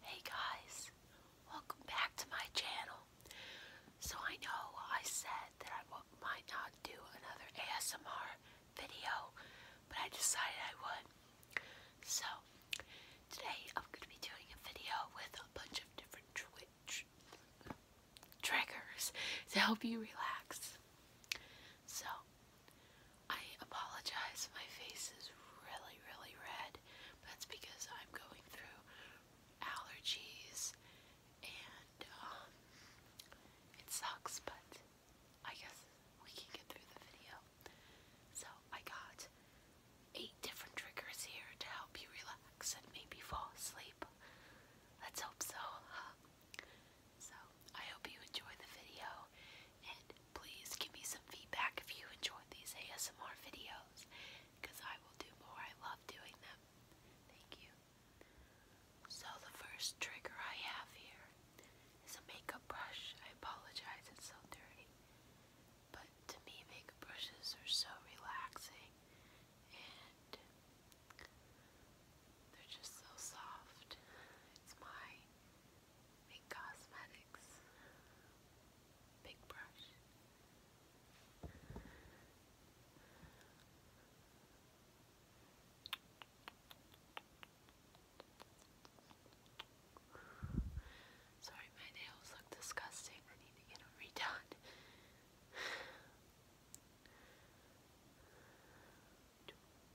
Hey guys, welcome back to my channel. So I know I said that I might not do another ASMR video, but I decided I would. So today I'm going to be doing a video with a bunch of different Twitch triggers to help you relax. So I apologize, my face is really, really red, that's because I'm going through allergies and um, it sucks, but I guess we can get through the video. So I got eight different triggers here to help you relax and maybe fall asleep. Let's hope so. So I hope you enjoy the video and please give me some feedback if you enjoyed these ASMR videos because I will do more. I love doing them. Thank you. So the first trigger I have here is a makeup brush. I apologize, it's so dirty. But to me, makeup brushes are so relaxing and they're just so soft. It's my Big cosmetics. Big brush. Sorry, my nails look disgusting. I need to get them redone.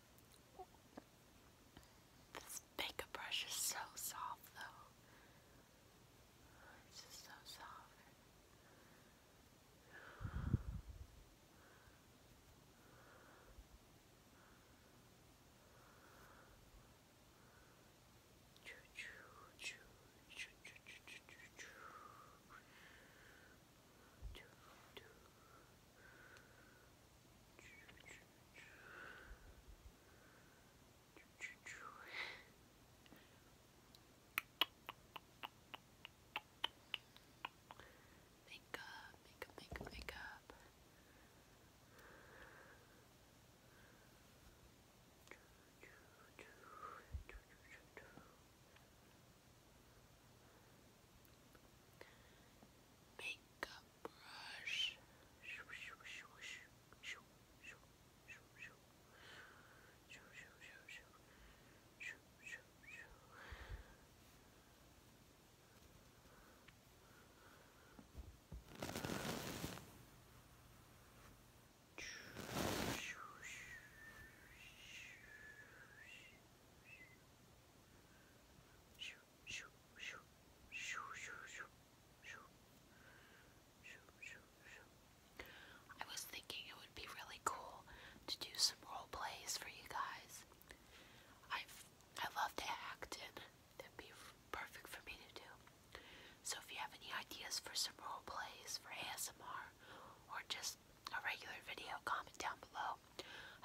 this makeup brush is so soft though. It's just so soft. Makeup, makeup, makeup, makeup. Choo, choo, choo, choo, choo, choo, choo. Makeup brush. I was thinking it would be really cool to do some role plays for you guys. i I love to act and that'd be perfect for me to do. So if you have any ideas for some role plays for ASMR or just a regular video, comment down below.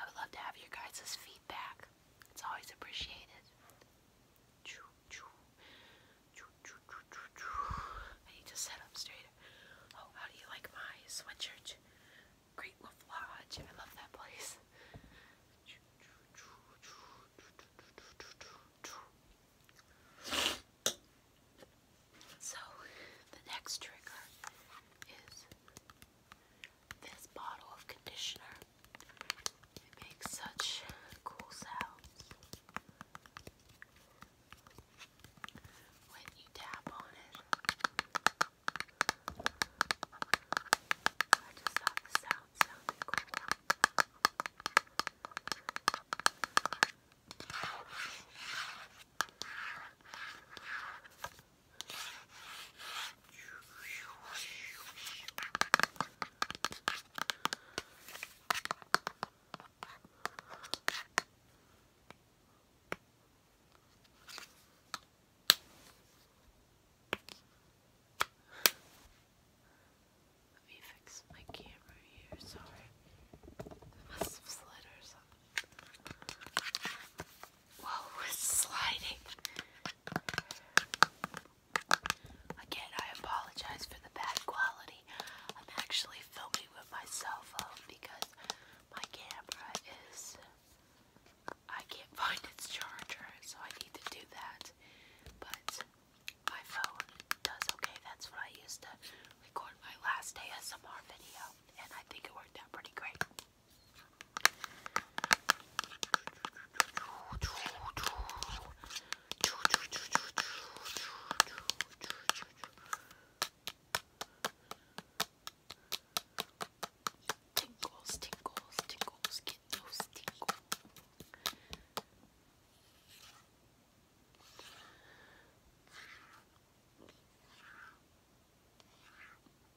I would love to have your guys' feedback. It's always appreciated. I need to set Oh, how do you like my sweatshirt? Great Wolf Lodge. I love that place. So, the next trigger is this bottle of conditioner, makes such cool sounds. When you tap on it, I just thought the sound sounded cool. Let me fix my camera here, sorry. I must have slid or something. Whoa, it's sliding. Again, I apologize for the bad quality. I'm actually filming with my cell phone because my camera is. I can't find its charger, so I need to do that. But my phone does okay. That's what I used to record my last ASMR video, and I think it worked out pretty great. Tinkles, tinkles, tinkles, get those tinkles.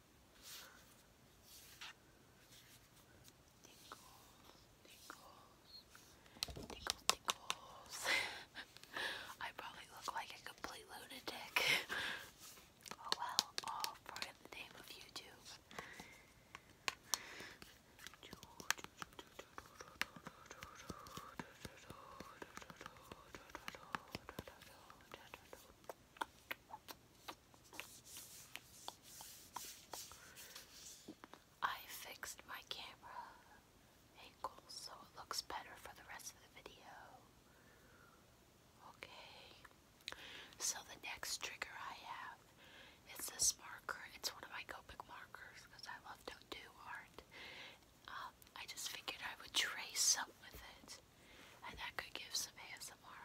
Tinkles, tinkles, I probably look like a complete lunatic. oh well, all for in the name of YouTube. I fixed my camera angle so it looks better for the rest of the video. Okay. So the next trigger I have is this marker. It's one of my Copic markers because I love to do art. Um, I just figured I would trace up with it and I could give some ASMR.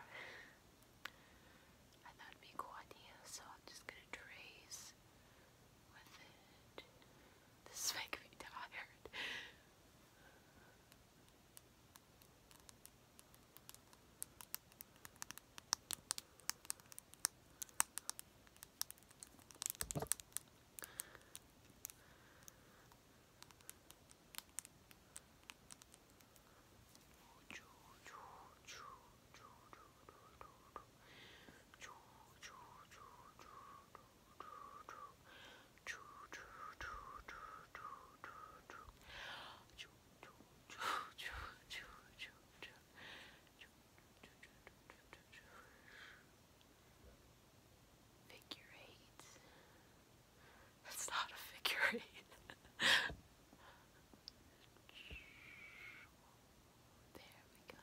I thought it'd be a cool idea, so I'm just gonna trace with it. This is me tired. Figure eight. It's not a figure eight. there we go.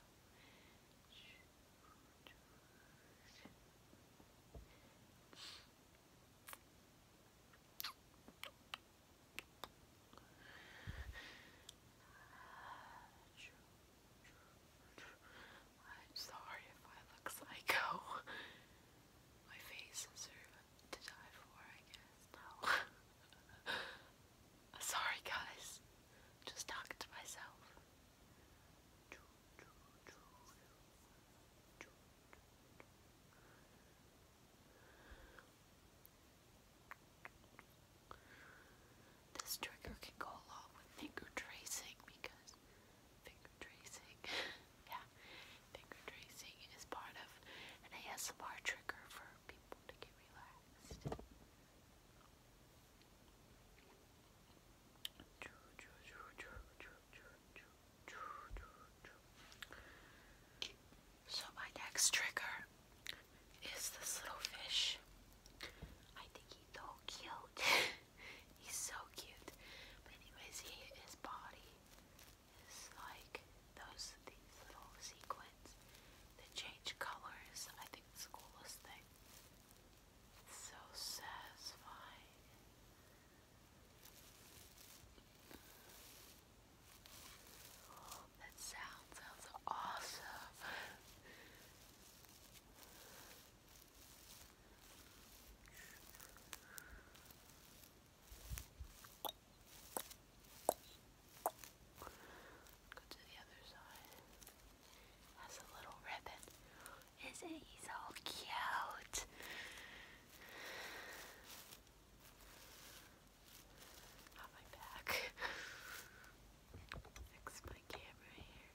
I'm sorry if I look psycho. My face is to die for, I guess. No. sorry, guys. Just talking to myself. This trigger can go along with finger tracing because finger tracing. yeah, finger tracing is part of an ASMR trigger for people to get relaxed. So, my next trigger is this little fish. I think he's so cute. He's so cute. But anyways, he, his body is like those these little sequins that change colors. I think the coolest thing. so satisfying. that sound sounds awesome. Go to the other side. Has a little ribbon. Isn't he so cute? On my back. Fix my camera here.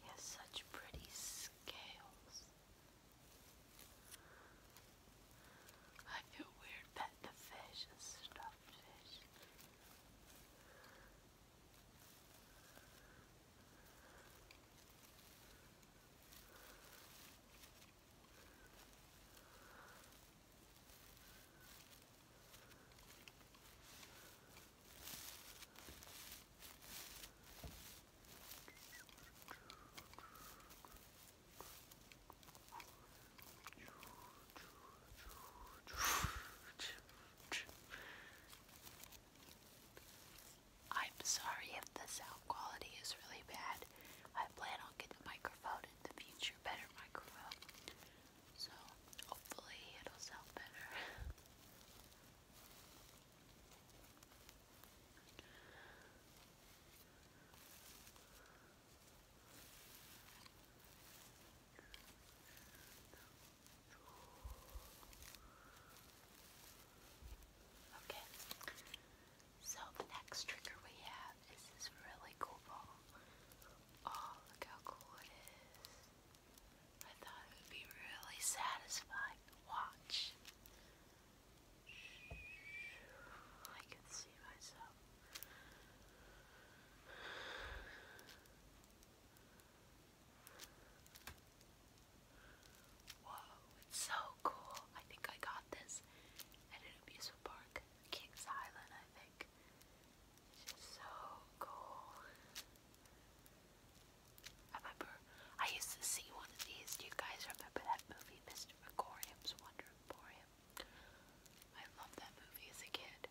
He has such pretty scales. I feel weird that the fish, a stuffed fish. I'm sorry if the sound quality is really bad. I plan on getting the microphone out in the future better microphone. So hopefully it'll sound better. Okay, so the next trigger we have is this really cool ball. Oh, look how cool it is. I thought it would be really satisfying to watch. I can see myself. Whoa, it's so cool. I think I got this at an amusement park. Kings Island, I think. It's just so cool. I remember I used to see one of these. Do you guys remember that movie, Mr. Megorium's Wonder Emporium? I loved that movie as a kid.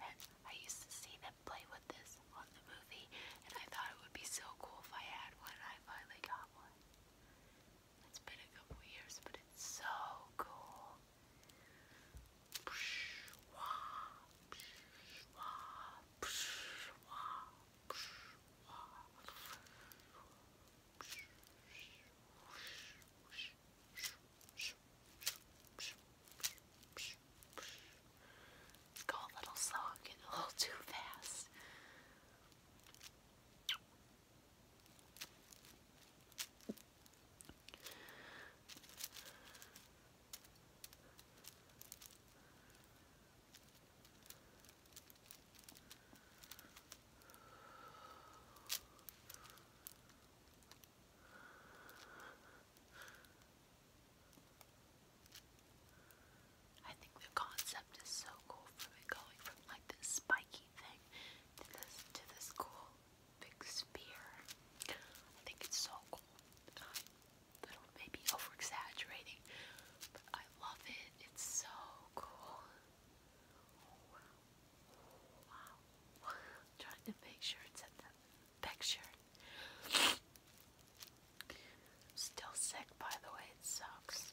And I used to see them play with this on the movie, and I thought it would be so cool if I had one. I finally got one. It's been a couple years, but it's so cool. Go a little slow, i a little too fast. I think the concept is so cool from going from like this spiky thing to this to this cool big sphere. I think it's so cool. Um, uh, little maybe overexaggerating, but I love it. It's so cool. Oh, trying to make sure it's in the picture. Still sick, by the way. It sucks.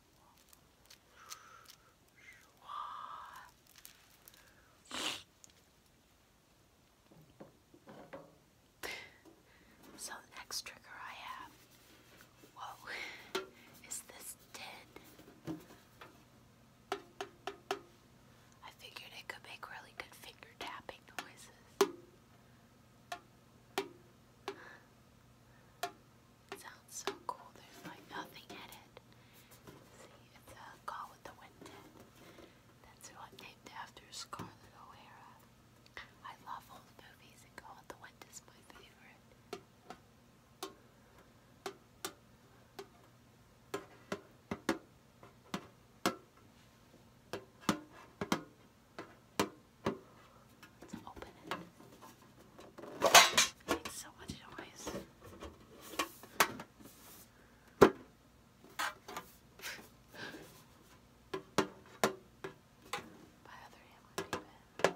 So the next trigger I have, whoa, is this tin. I figured it could make really good finger tapping noises. It sounds so cool. There's like nothing in it. See, it's call with the wind That's what named after Scarlett O'Hara. I love old movies Call with the Wind is my favorite. Let's open it. It makes so much noise. My other hand would be bad.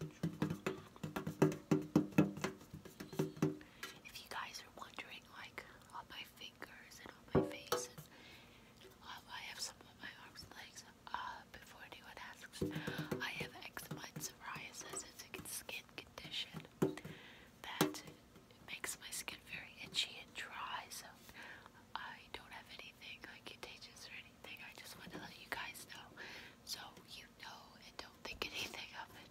If you guys are wondering, like, on my fingers and on my face, I have some on my arms and legs, uh, before anyone asks, I have eczema and psoriasis. It's a skin condition that makes my skin very itchy and dry, so I don't have anything like contagious or anything. I just want to let you guys know so you no and don't think anything of it.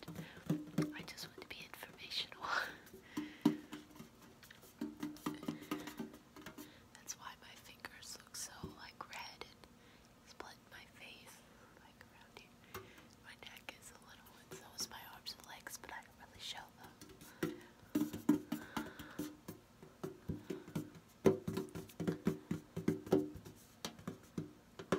I just want to be informational. That's why my fingers look so like red and split my face like around here. My neck is a little so is my arms and legs, but I don't really show them. I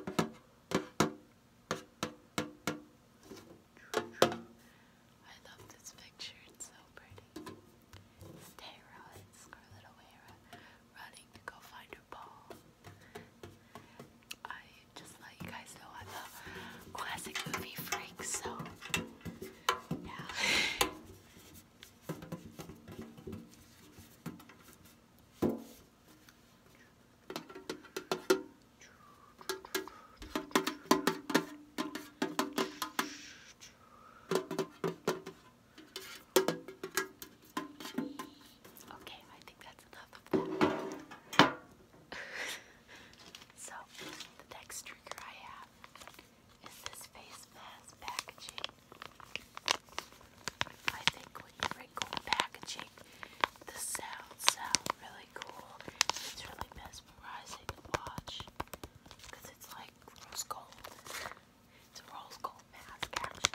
love this picture, it's so pretty. It's Tara, Scarlet O'Hara, running to go find her ball. I just let you guys know I love classic movie freaks, so yeah. Okay, I think that's enough of that. so, the next trigger I have is this face mask packaging. I think when you wrinkle packaging, the sounds sound really cool. It's really mesmerizing to watch because it's like rose gold. It's a rose gold mask action.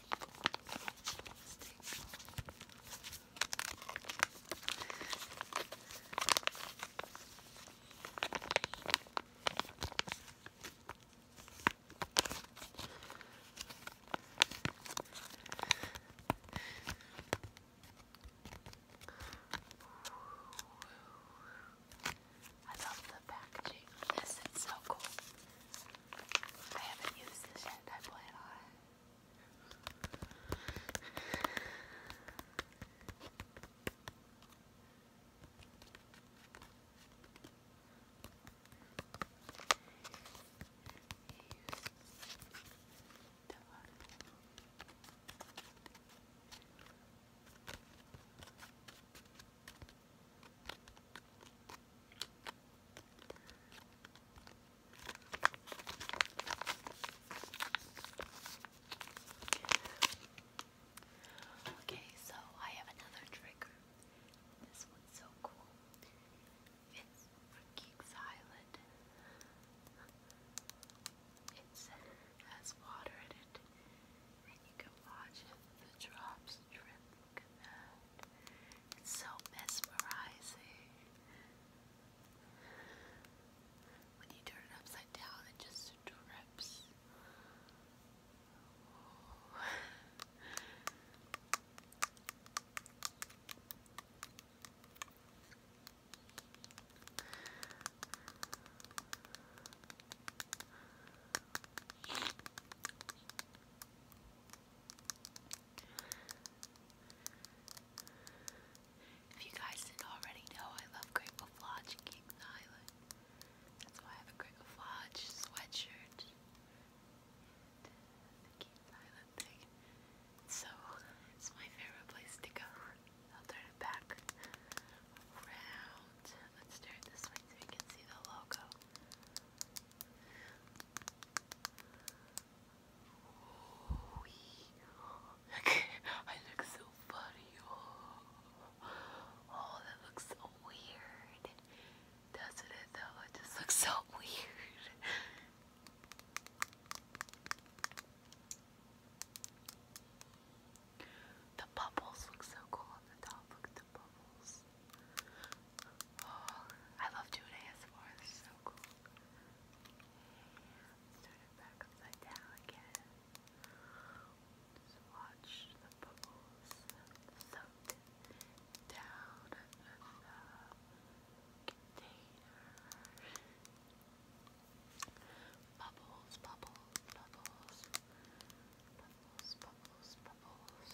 I love the packaging. This is so cool. I haven't used this yet. I plan on it. Use Okay, so I have another trigger. This one's so cool. It's from Geeks Island. It has water in it, and you can watch it. The drops drip. It's so mesmerizing. When you turn it upside down, it just drips. If you guys didn't already know, I love Great Flodge and That's why I have a Great sweatshirt and the Kings So it's my favorite place to go. I'll turn it back around. Let's turn it this way so you can see the logo. I look so funny. Oh. oh, that looks so weird. Doesn't it though? It just looks so weird. The bubbles look so cool on the top. Look at the bubbles. Oh, I love doing ASMR, this is so cool. let back upside down again. watch the bubbles soak down the container. Bubbles, bubbles, bubbles. Bubbles, bubbles, bubbles.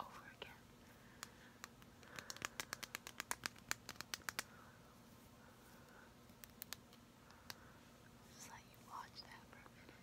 over again. Just let you watch that for a minute.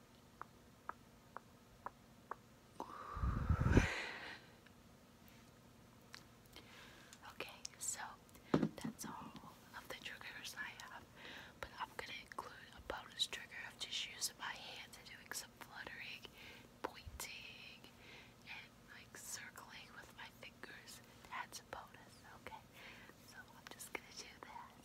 Okay, so that's all of the triggers I have, but I'm gonna include a bonus trigger of just using my hands and doing some fluttering, pointing, and like circling with my fingers. That's a bonus, okay? So I'm just gonna do that.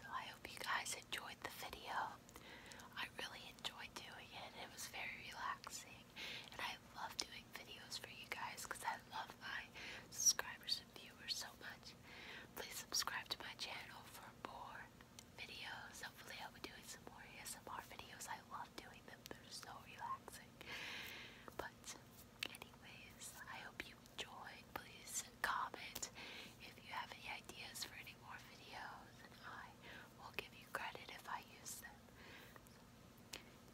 So I hope you guys enjoyed the video. I really enjoyed doing it. It was very relaxing. And I love doing videos for you guys because I love my subscribers and viewers so much. Please subscribe to my channel for more videos. Hopefully, I'll be doing some more ASMR videos. I love doing them, they're so relaxing. But, anyways, I hope you enjoyed. Please comment if you have any ideas for any more videos, and I will give you credit if I use them.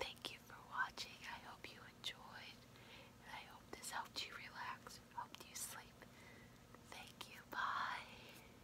Thank you for watching. I hope you enjoyed, and I hope this helped you relax, helped you sleep. Thank you. Bye.